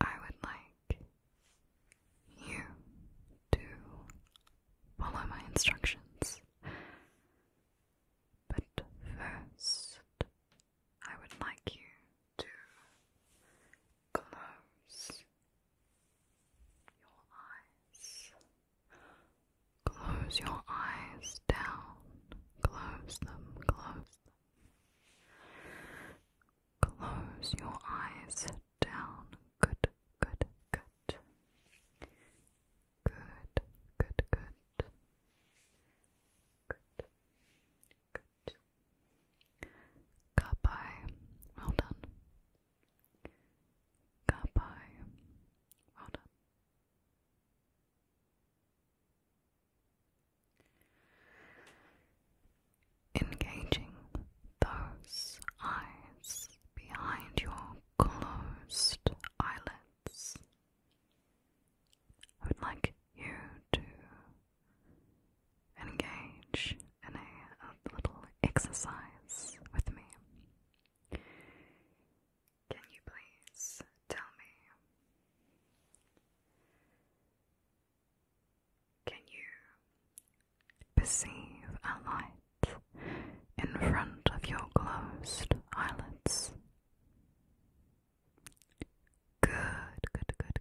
I would like you to follow my instructions, but first I would like you to close your eyes. Close your eyes down. Close them, close them. Close your eyes down. Good, good, good. Good, good, good. Good, good, Goodbye. well done. Kapai, well done. Engaging those eyes behind your closed eyelids. I would like you to engage in a, little exercise with me. Can you please tell me? Can you perceive a light in front of your closed eyelids? Good, good, good,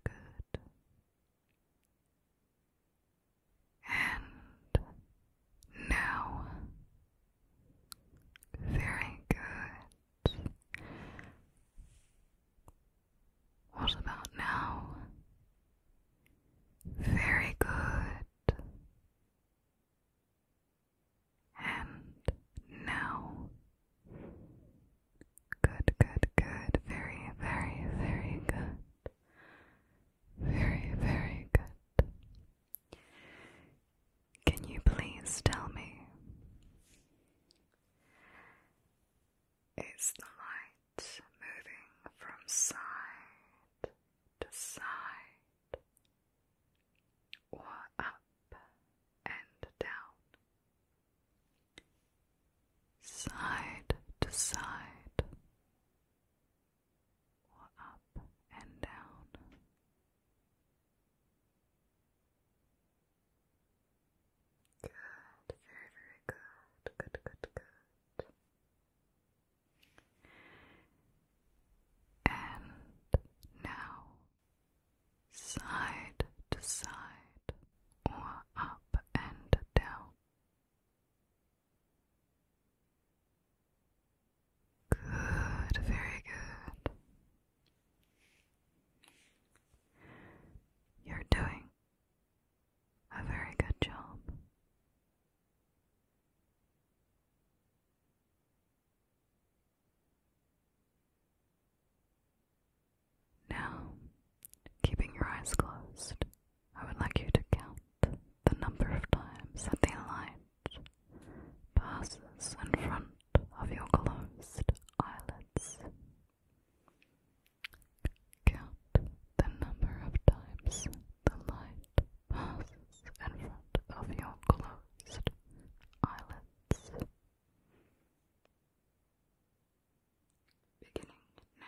good. And now, very good. What about now? Very good. And now, Good, good, good. Very, very, very good. Very, very good. Can you please tell me? Is the light moving from side to side or up and down? side to side, or up and down. Good, very, very good. Good, good, good. And now side to side, or up and down. Good, very good. You're doing a very good job. Now, keeping your eyes closed, I would like you to count the number of times that the light passes in front of your closed eyelids. Count the number of times the light passes in front of your closed eyelids beginning now.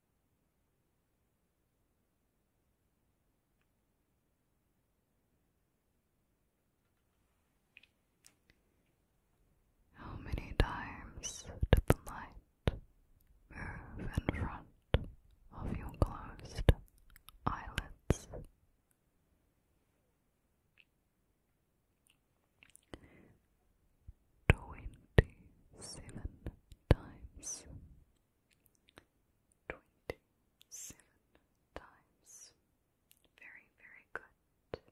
How many times did the light move in front of your closed eyelids? twenty seven times twenty seven times. Very, very good.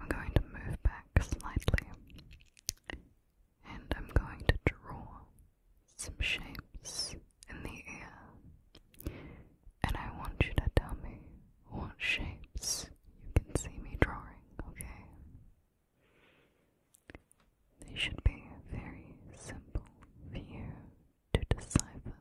I'm going to move back slightly and I'm going to draw some shapes in the air. And I want you to tell me what shapes you can see me drawing, okay? They should be very simple for you to decipher.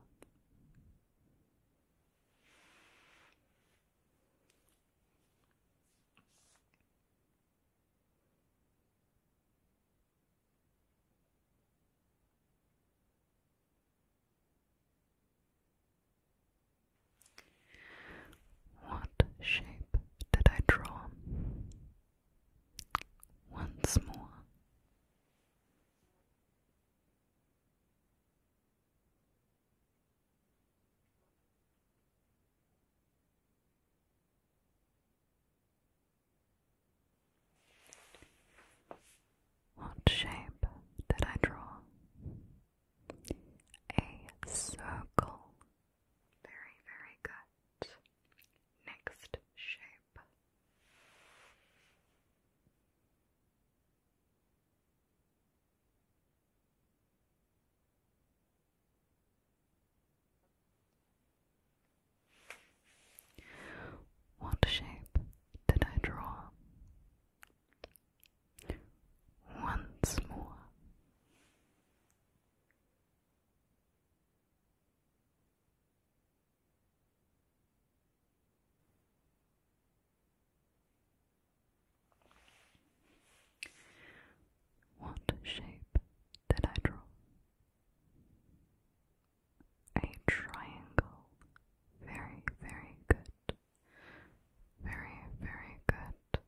What shape did I draw? Once more. What shape did I draw? A circle. Very, very good. Next shape. What shape did I draw? once more. What shape did I draw? A triangle. Very, very good. Very, very good.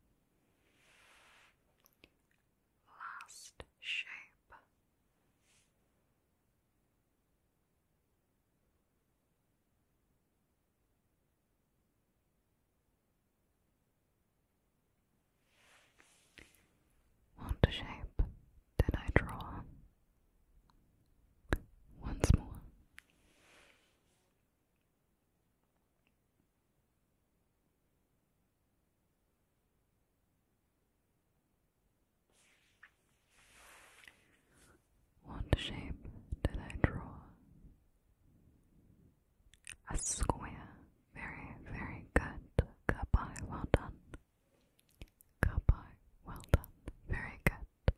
Last shape. What shape did I draw? Once more. What shape did I draw? A square. Very, very good. Goodbye, well done. Goodbye, well done. Very good.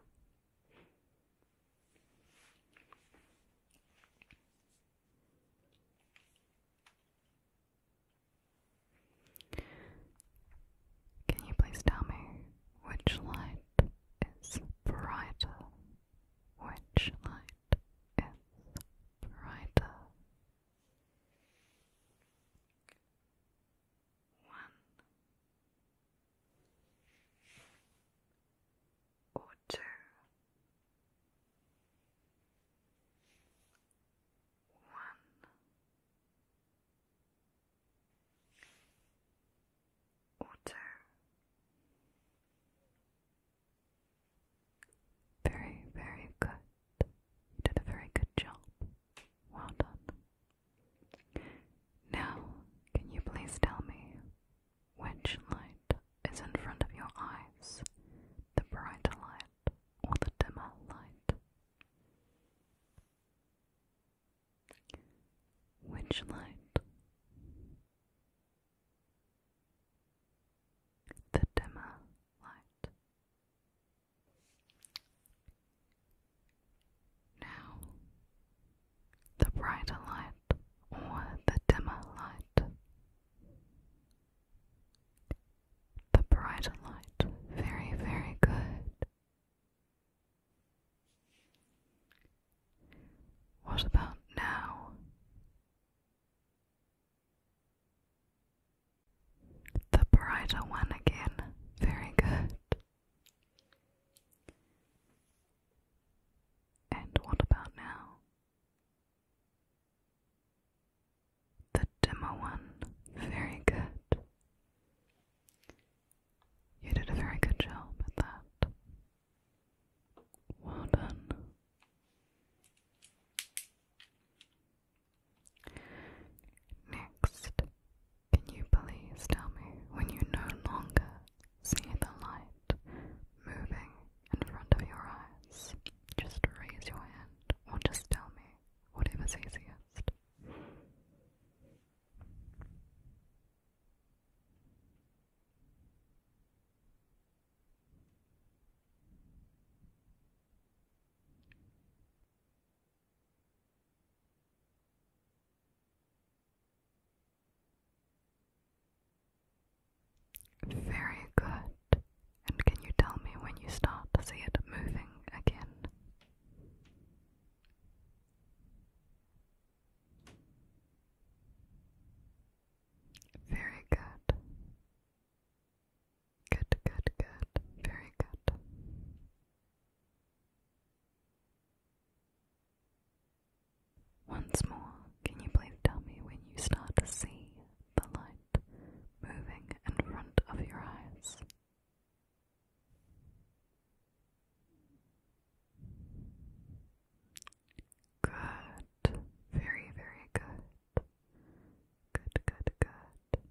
Can you please tell me which light is brighter? Which light is brighter? One, or very, very good. You did a very good job. Well done. Now, can you please tell me which light is in front of your eyes? The brighter light or the dimmer light? Which light? The dimmer light. Now, the brighter light or the dimmer light. The brighter light, very, very good. What about now? The brighter one again, very good. And what about now? The dimmer one. Very good. You did a very good job at that. Well done. Next, can you please tell me when you no longer see the light moving in front of your eyes? Just raise your hand or just tell me, whatever's easiest. Very good. And can you tell me when you start to see it moving again? Very good. Good, good, good. Very good. Once more, can you please tell me when you start to see the light moving in front of your eyes? Good, very, very good. Good, good, good.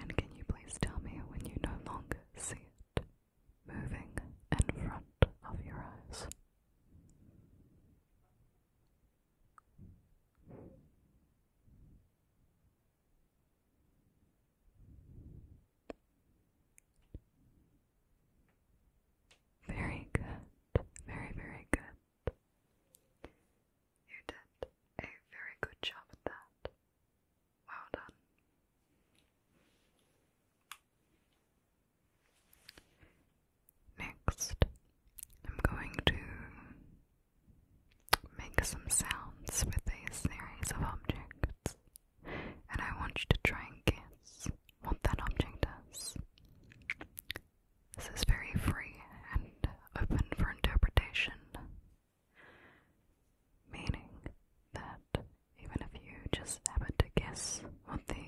And can you please tell me when you no longer see it? moving in front of your eyes. Very good, very, very good. You did a very good job at that. Well done. Next, I'm going to make some sounds with a series of objects, and I want you to try and guess what that object is. This is very free and open for interpretation, Meaning that even if you just happen to guess what the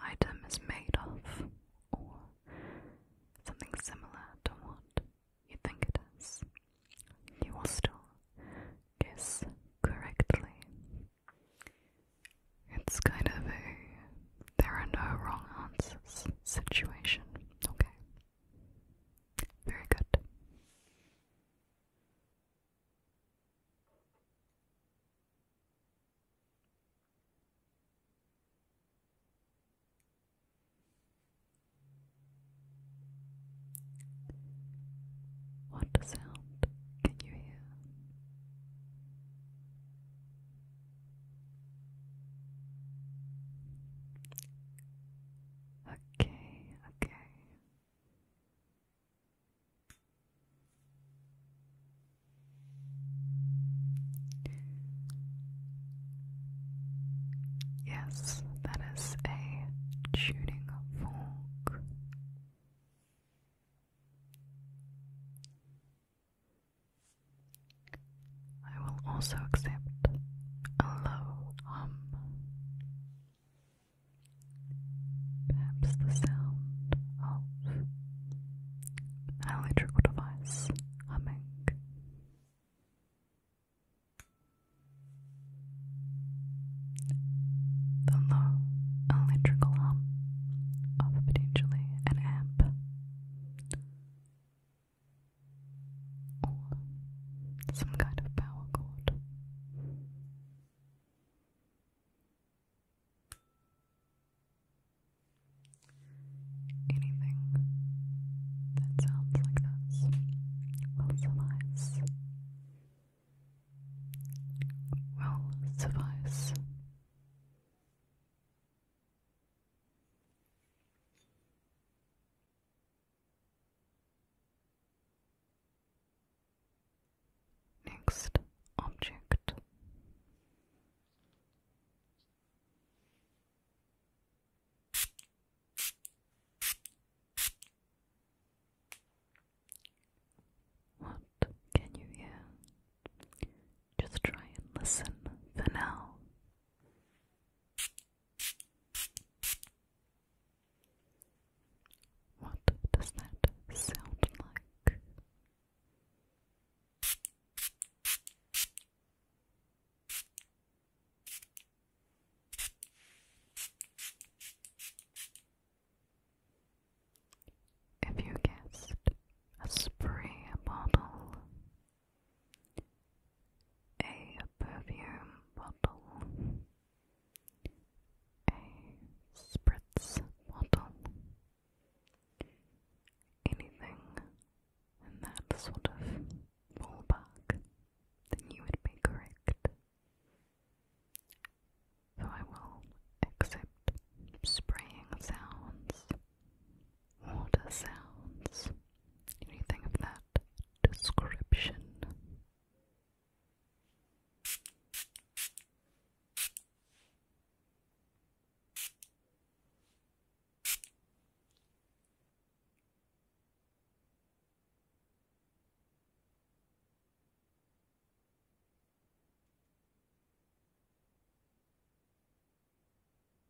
item is made of, or something similar to what you think it is, you will still guess correctly. It's kind of a there are no wrong answers situation, okay? Very good. What sound can you hear? Okay, okay. Yes, that is a tuning fork. I will also accept a low hum. Perhaps the sound of an electrical device humming. The low electrical hum of potentially an amp or some kind of power cord. Anything that sounds like this will suffice. Will suffice. Next object. What can you hear? Just try and listen for now. What does that sound like? If you guessed a spray bottle, a perfume bottle, a spritz bottle, anything in that sort of ballpark, then you would be correct. So I will accept spraying sounds, water sounds, anything of that description.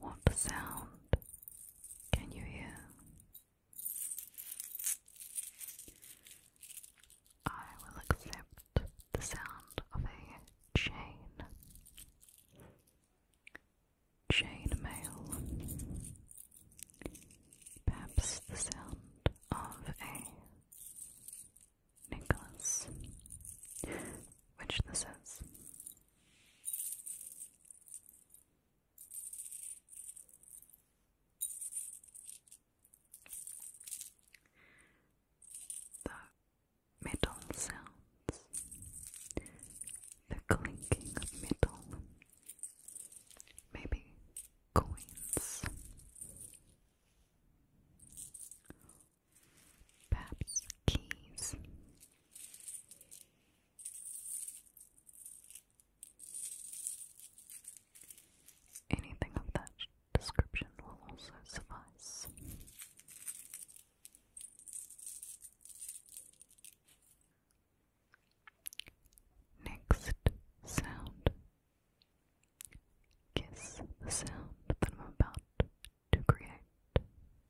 What sound can you hear? I will accept the sound of a chain. Chainmail. Perhaps the sound of a necklace, which this is. The metal sounds, the clinking of metal, maybe coins Perhaps keys. Anything of that description will also suffice. Next sound. Guess the sound that I'm about to create.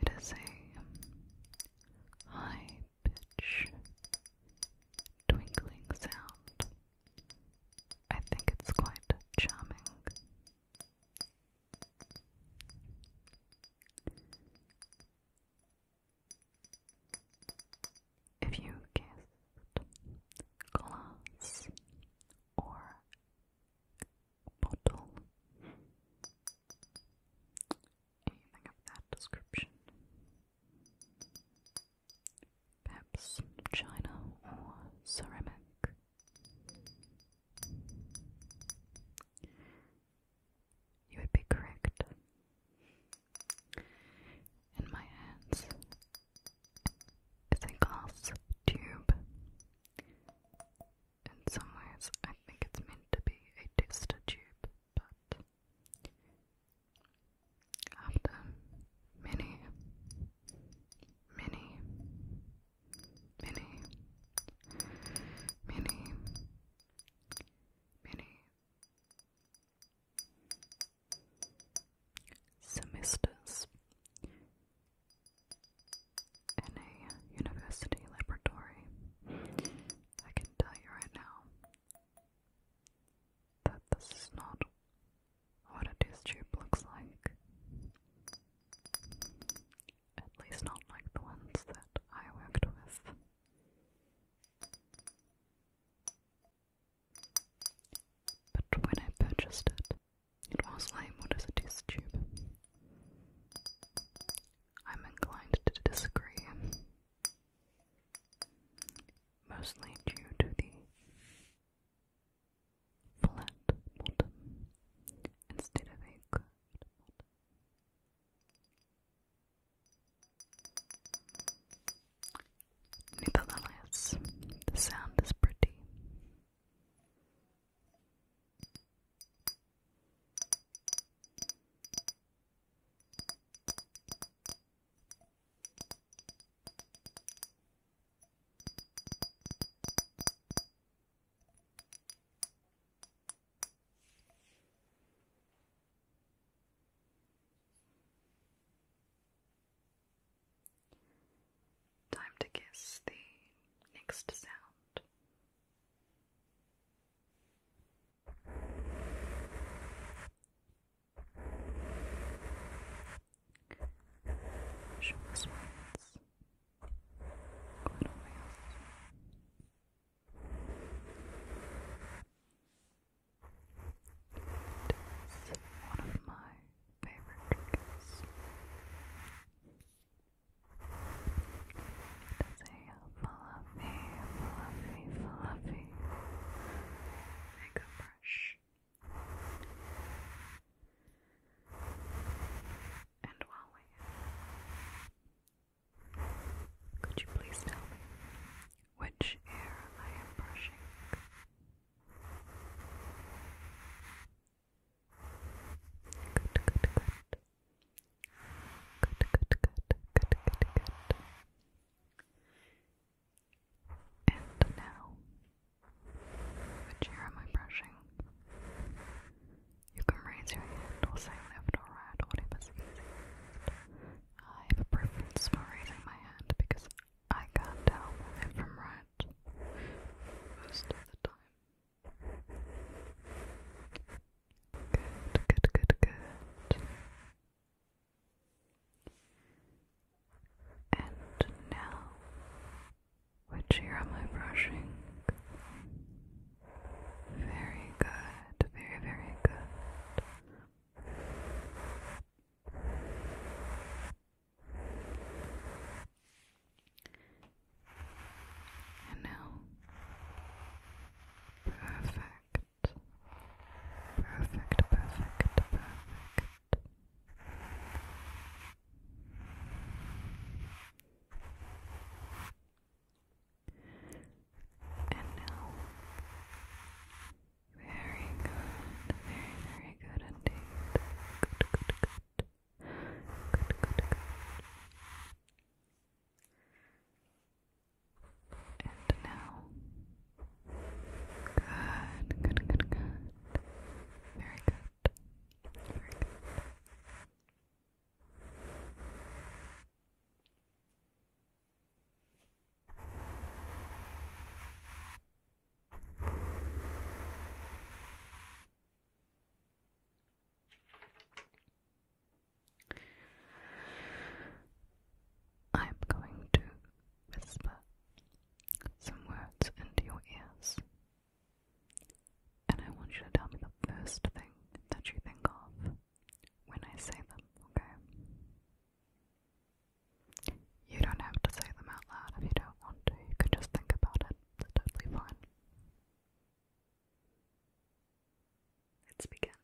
It is a high pitch twinkling sound. I think it's quite charming. If you guessed glass or bottle, anything of that description, perhaps china or ceramic. You would be correct in my hands is a glass tube. In some ways, I think it's meant to be a tester tube, but after many, many, many, many, many, semesters in a university laboratory. I can tell you right now that this is not what a test looks like. At least not like the ones that I worked with. But when I purchased it, it was labeled as a test tube. I'm inclined to disagree, mostly due to the flat bottom instead of a curved Nevertheless, the sound is pretty. Time to guess the next sound. Short sweats. Quite it is one of my favorite triggers. It is a fluffy, fluffy, fluffy makeup brush. And while we could you please tell me which ear I am brushing. Good, good, good. Good, good, good, good, good, good. And now, which ear am I brushing? You can raise your hand or say left or right, whatever's easiest. I have a preference for raising my hand because I can't tell it from right most of the time. Good, good, good, good. And now, which ear am I brushing? Very good, very, very good. And now, perfect, perfect, perfect, perfect. And now, very good, very, very good indeed. Good, good, good. Good, good, good. And now, good, good, good, good. Very good, very good. I'm going to whisper some words into your ears, and I want you to tell me the first thing that you think of when I say them, okay? You don't have to say them out loud if you don't want to. You can just think about it. It's totally fine. Let's begin.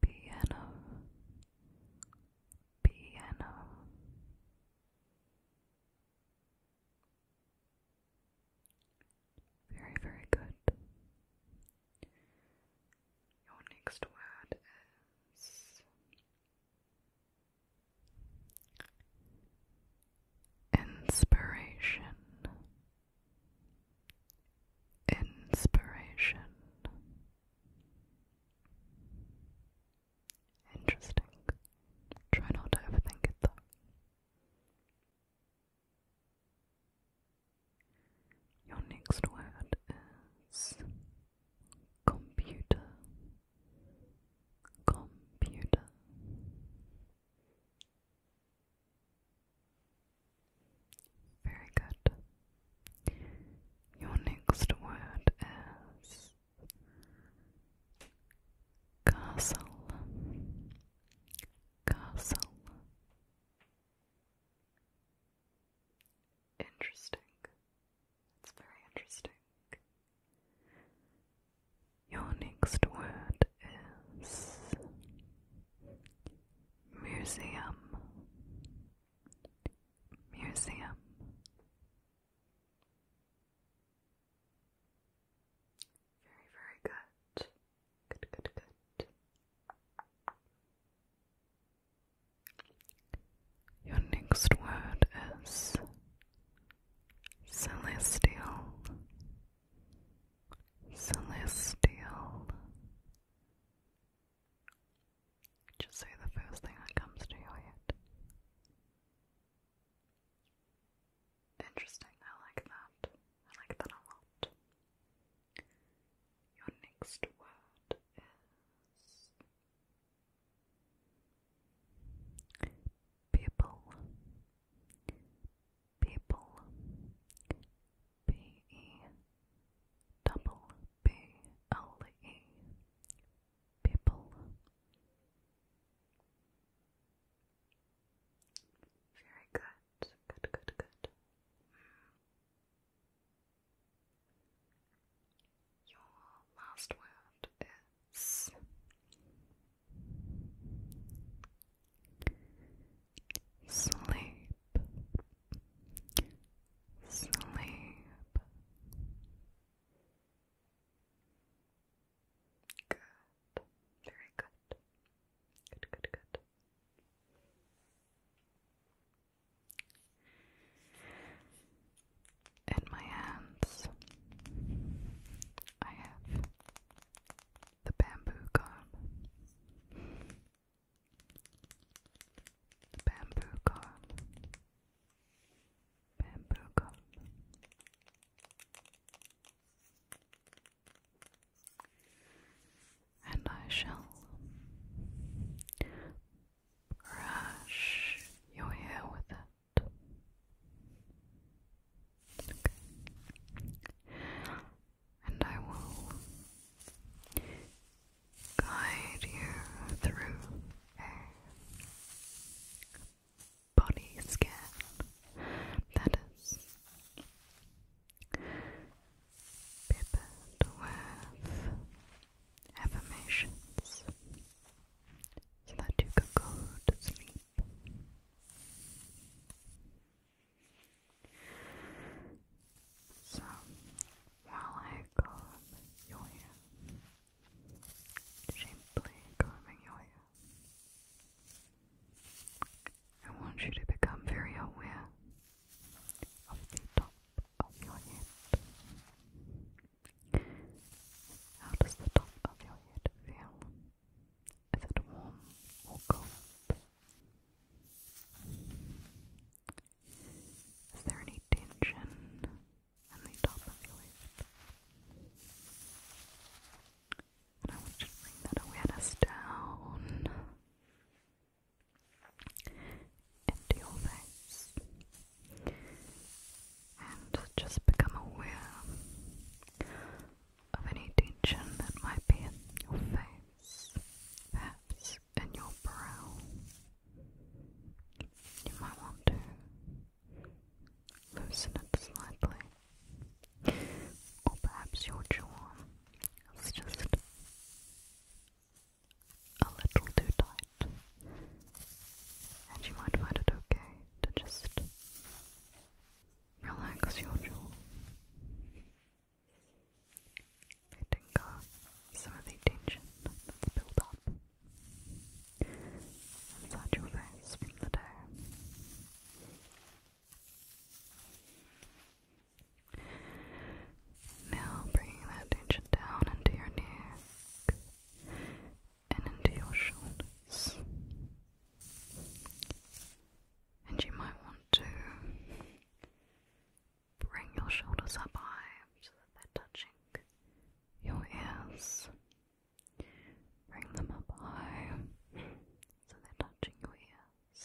Piano, piano, very, very good. Your next word is inspiration. Inspiration. Interesting. Try not to overthink it though. Your next word is computer, computer. Very good. Your next word is castle, castle. Interesting. It's very interesting. Your next word is museum. Museum. Very, very good. Good, good, good. Your next word is celestial, celestial. Just say the first thing that comes to your head. Interesting, I like that. I like that a lot. Your next word is people. People. P E double B L E. People. Very good. Good, good, good, good. Your last word is sleep, sleep. Good that. Very good. Good, good, good. In my hands, I have the bamboo comb. bamboo comb. Bamboo comb and I shall brush your hair with it. And I will guide you through body scan that is peppered with affirmations so that you can go to sleep. So, while I comb your hair, gently combing I want you to become very aware of the top of your head. How does the top of your head feel? Is it warm or cold? Is there any tension in the top of your head? And I want to bring that awareness down into your face and just become aware of any tension that might be in your face, perhaps in your brow. You might want to loosen it slightly. Or perhaps your jaw is just a little too tight. And you might find it okay to just relax your jaw. Letting go some of the tension that's built up inside your face from the day. Now bringing that tension down into your neck and into your shoulders. And you might want to bring your shoulders up high so that they're touching your ears. Bring them up high so they're touching your ears,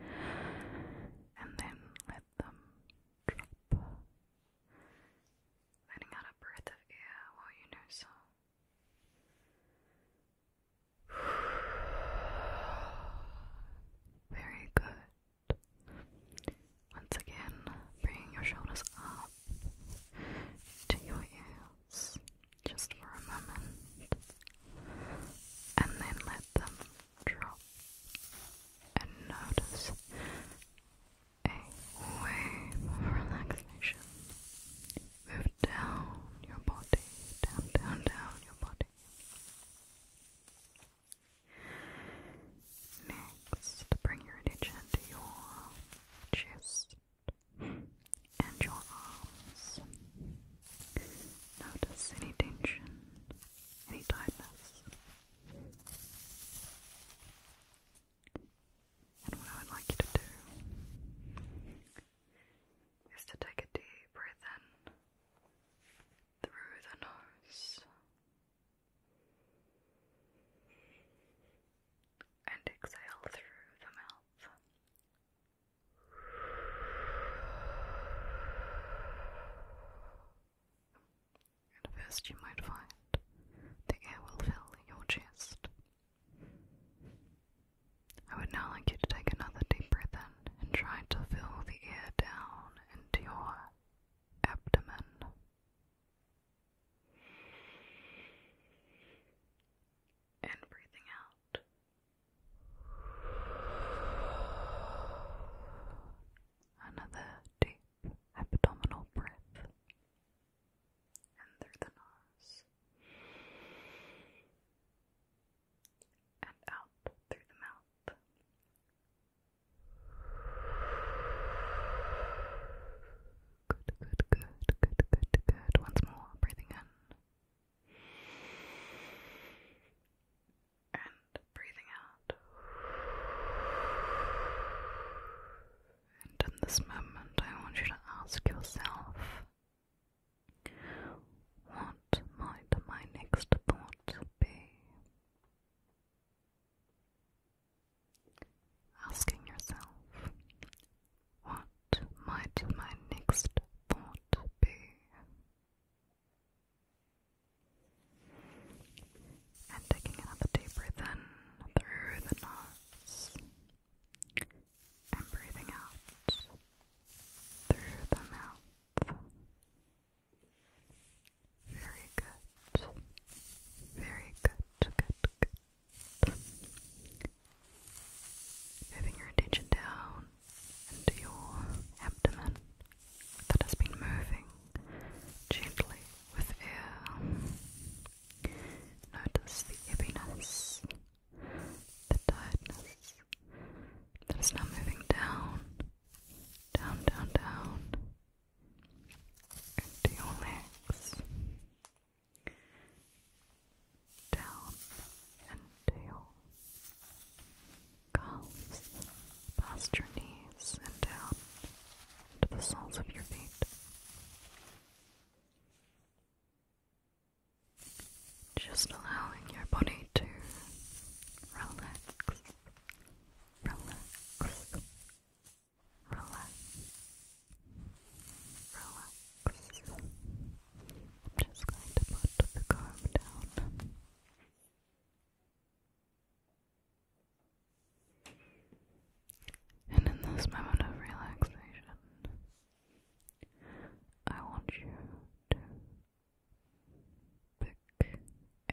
and then let them drop, letting out a breath of air while you know so. Very good. Once again, bring your shoulders up to your ears just for a moment and then let them drop and notice a wave of relaxation move down your body, down, down, down your body. Next, bring your attention to your chest and your arms. Notice any tension, any tightness. And what I would like you to do is to take a deep breath in through the nose and exhale through the mouth. At first, you might find the air will fill your chest. I would now like you to take another deep breath in and try to fill the air down into your abdomen. And breathing out, Another deep abdominal breath and through the nose and out through the mouth. Good, good, good, good, good, good. Once more, breathing in and breathing out. And in this moment, I want you to ask yourself what might my next thought be? Asking yourself, what might my next thought be? And taking another deep breath in through the nose and breathing out through the mouth. Very good. Very good. Good, Moving your attention down into your abdomen that has been moving gently with air. Notice the heaviness, the tightness that is now moving down, down, down, down into your legs down until calves past your knees and down to the soles of your feet. Just allowing your body to relax, relax, relax. Relax. I'm just going to put the comb down. And in this moment of relaxation, I want you to pick a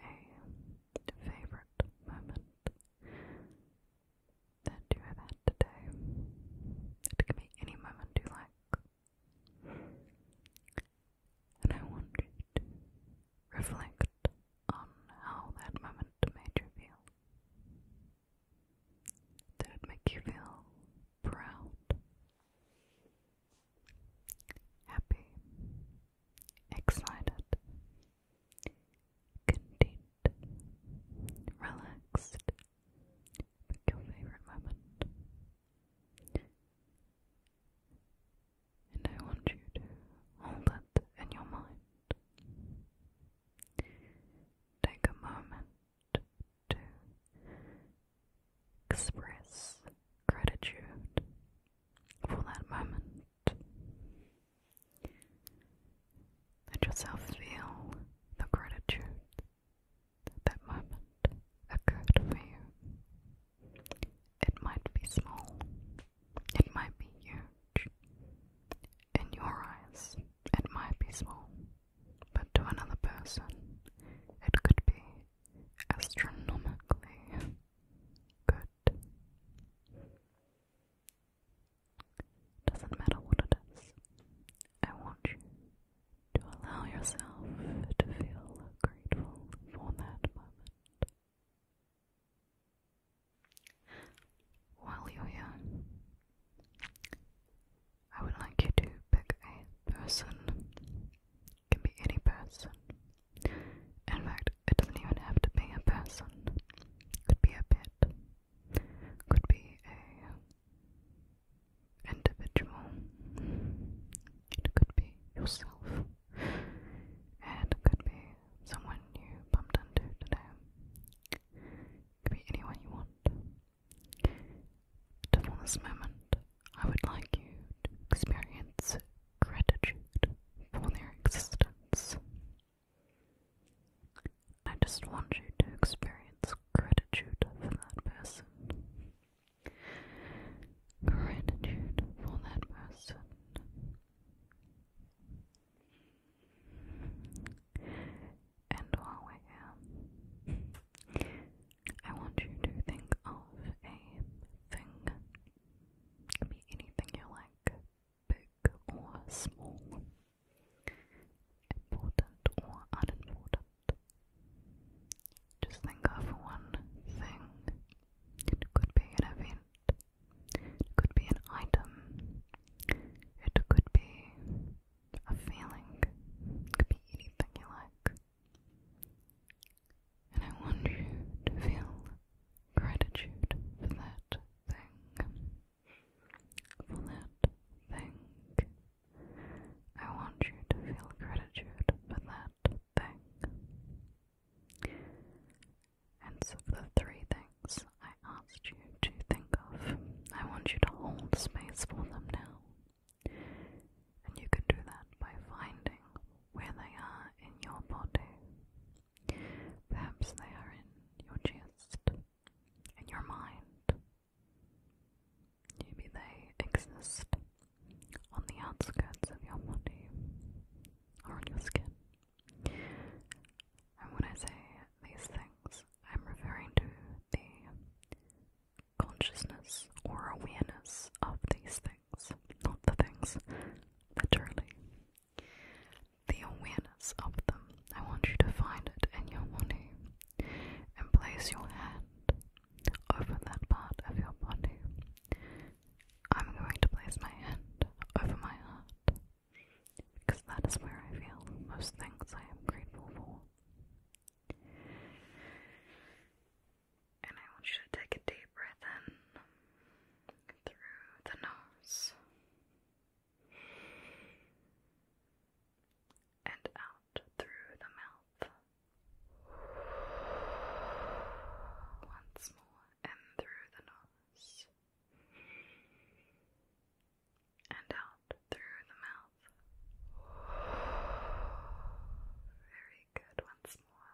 favorite moment that you have had today. It can be any moment you like. And I want you to reflect on how that moment made you feel. Did it make you feel proud, happy, excited, content, relaxed, your favorite moment. And I want you to hold it in your mind. Take a moment to express gratitude for that moment. Let yourself feel the gratitude that moment occurred for you. It might be small, it might be huge. In your eyes, it might be small, but to another person, it could be astronomically good. Doesn't matter what it is. I want you to allow yourself to feel grateful for that moment. While you're here, I would like you to pick a person. can be any person. In fact, it doesn't even have to be a person. could be a pet could be a individual, it could be yourself, and it could be someone you bumped into today. could be anyone you want. But this moment, I would like you to experience gratitude for their existence. I just want you to experience gratitude for that person. Gratitude for that person. And while we're I want you to think of a thing. It can be anything you like, big or small. Important or unimportant. Just think of one thing. It could be an event, it could be an item, it could be a feeling, could be anything you like. And I want you to feel gratitude for that thing. For that thing. I want you to feel gratitude for that thing. And so, the three things I asked you to think of, I want you to hold space for them now. And you can do that by finding where they are in your body. Perhaps they are in your chest, in your mind, Maybe they exist on the outskirts of your body or on your skin. And when I say these things, I'm referring to the consciousness or awareness of these things, not the things literally the awareness of them. I want you to find it in your body and place your hand over that part of your body. I'm going to place my hand over my heart because that is where I feel most things I am grateful for. And I want you to take a deep breath in through the nose and out through the mouth. Once more, and through the nose, and out through the mouth. Very good, once more,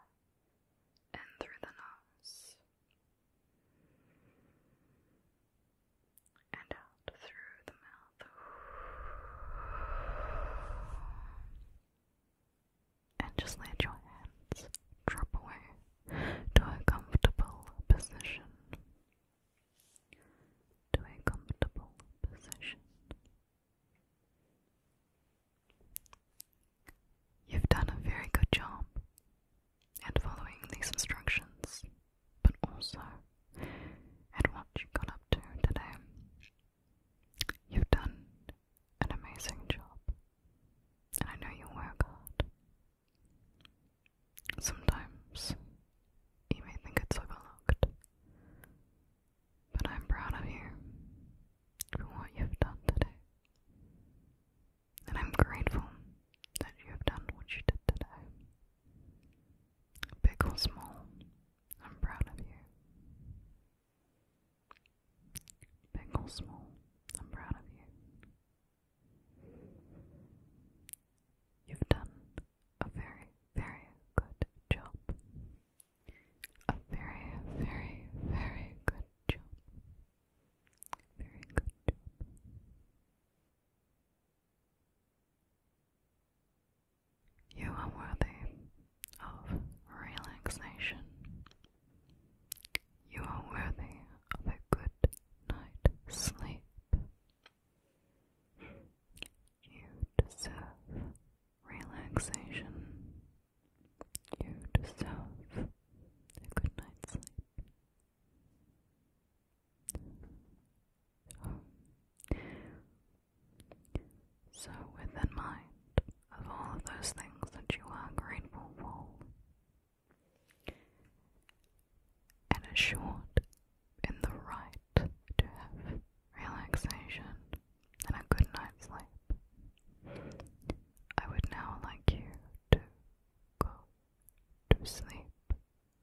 and through the nose and out through the mouth. And just let your hands drop away to a comfortable position. To a comfortable position. You've done a very good job and following these instructions, but also at what you got up to today. You've done an amazing job, and I know you work hard. Sometimes you may think it's overlooked, but I'm proud of you for what you've done today. And I'm grateful that you have done what you did today. Big or small, I'm proud of you. Big or small, I'm proud of you. You've done a very, very good job. A very, very, very good job. Very good you are worthy of relaxation. You are worthy of a good night's sleep. You deserve relaxation. You deserve a good night's sleep. So, with in mind of all of those things that you are grateful for, and assured in the right to have relaxation and a good night's sleep, I would now like you to go to sleep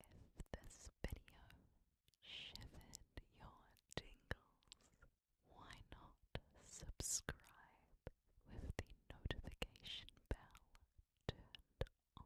if this video shivered your tingles, why not subscribe with the notification bell turned on?